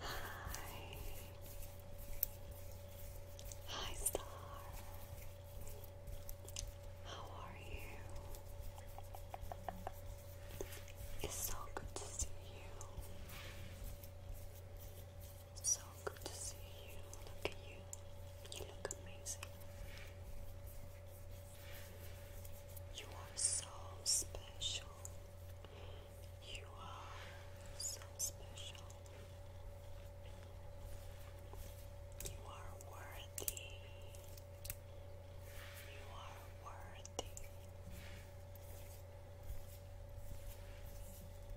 Hi. Hi, Star. How are you? It's so good to see you. So good to see you. Look at you. You look amazing. You are so special. You are so special. You are worthy. You are worthy.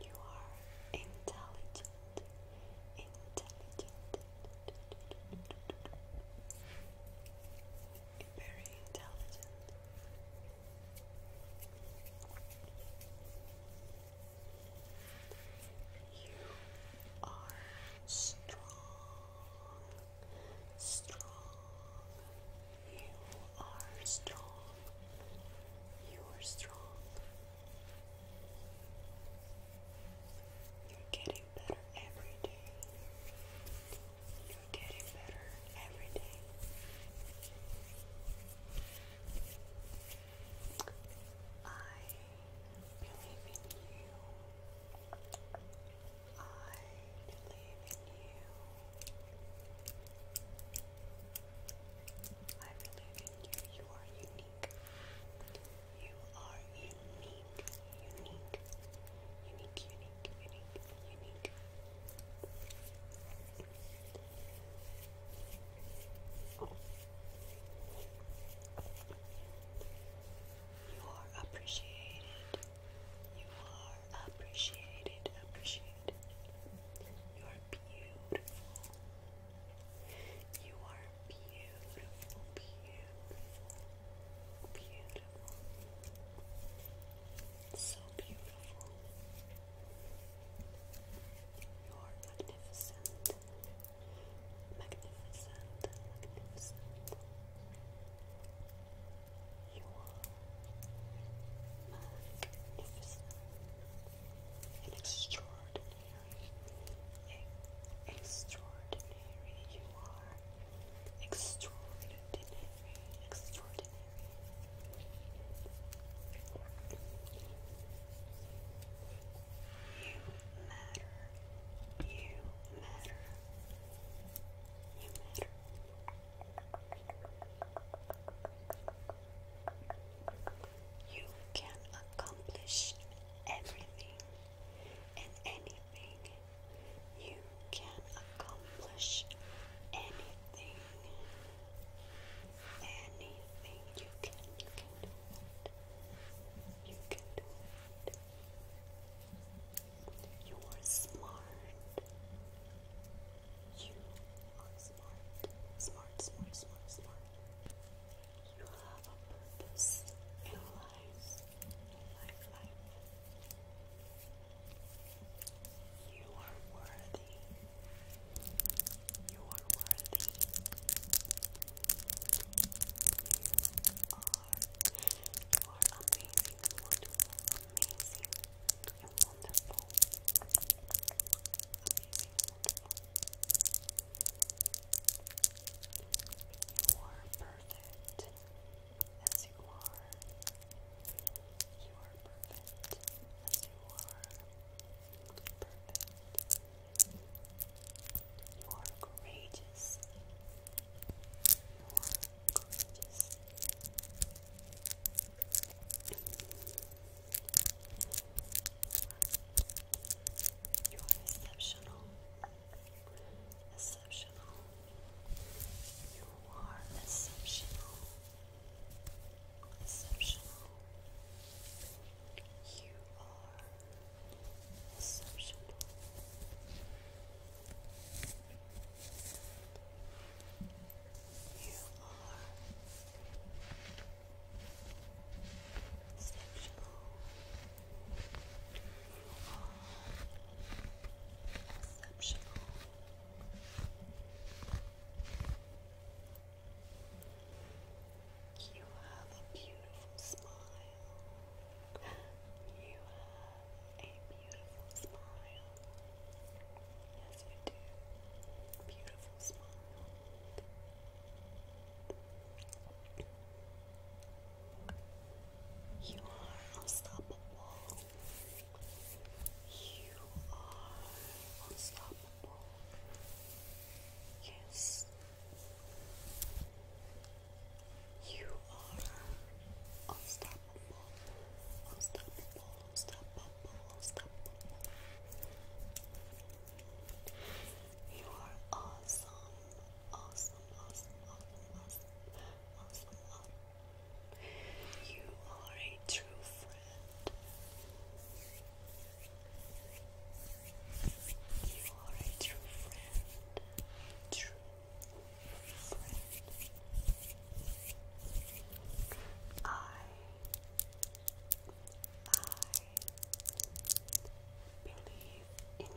You are intelligent. Intelligent very intelligent. You are strong, strong. You are strong. You are strong. You're getting better every day. You're getting better every day. I believe in you. I believe in you. I believe in you. You are unique. You are unique, unique, unique, unique, unique. You are appreciated. You are appreciated, appreciated. You are beautiful. You are beautiful, beautiful, beautiful incredible. So beautiful. You are magnificent. Magnificent. Magnificent. You are magnificent. An extraordinary. Extraordinary you are. Extraordinary. Extraordinary. You matter. You matter. You matter. You can accomplish everything and anything you can accomplish anything. Anything you can, you can do it. You can do it. You are smart. You are smart. Smart, smart, smart, smart. You have a purpose in life lifeline. You are worthy. You are worthy. You are. You are amazing, You are perfect. You are perfect as you are. You are perfect as you are. Perfect. You are courageous. You are courageous. You are exceptional exceptional. You are Exceptional. You are exceptional. You are exceptional. You have a beautiful smile. You have a beautiful smile. Yes, you do. Beautiful smile. You are unstoppable. You are unstoppable. Yes. You are unstoppable. Unstoppable. Unstoppable. Unstoppable. You are awesome awesome, awesome, awesome, awesome, awesome, You are a true friend. You are a true friend. True friend. I, I believe in you.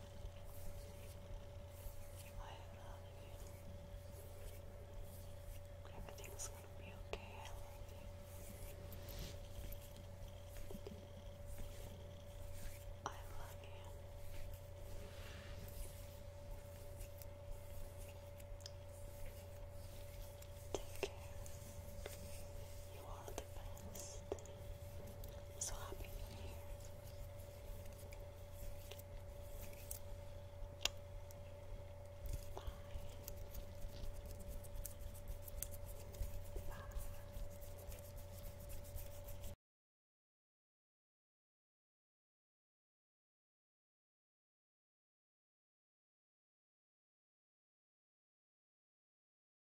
I love you. Everything's gonna be okay. I love you. I love you. Take care. You are the best. So happy you're here. Bye. Bye.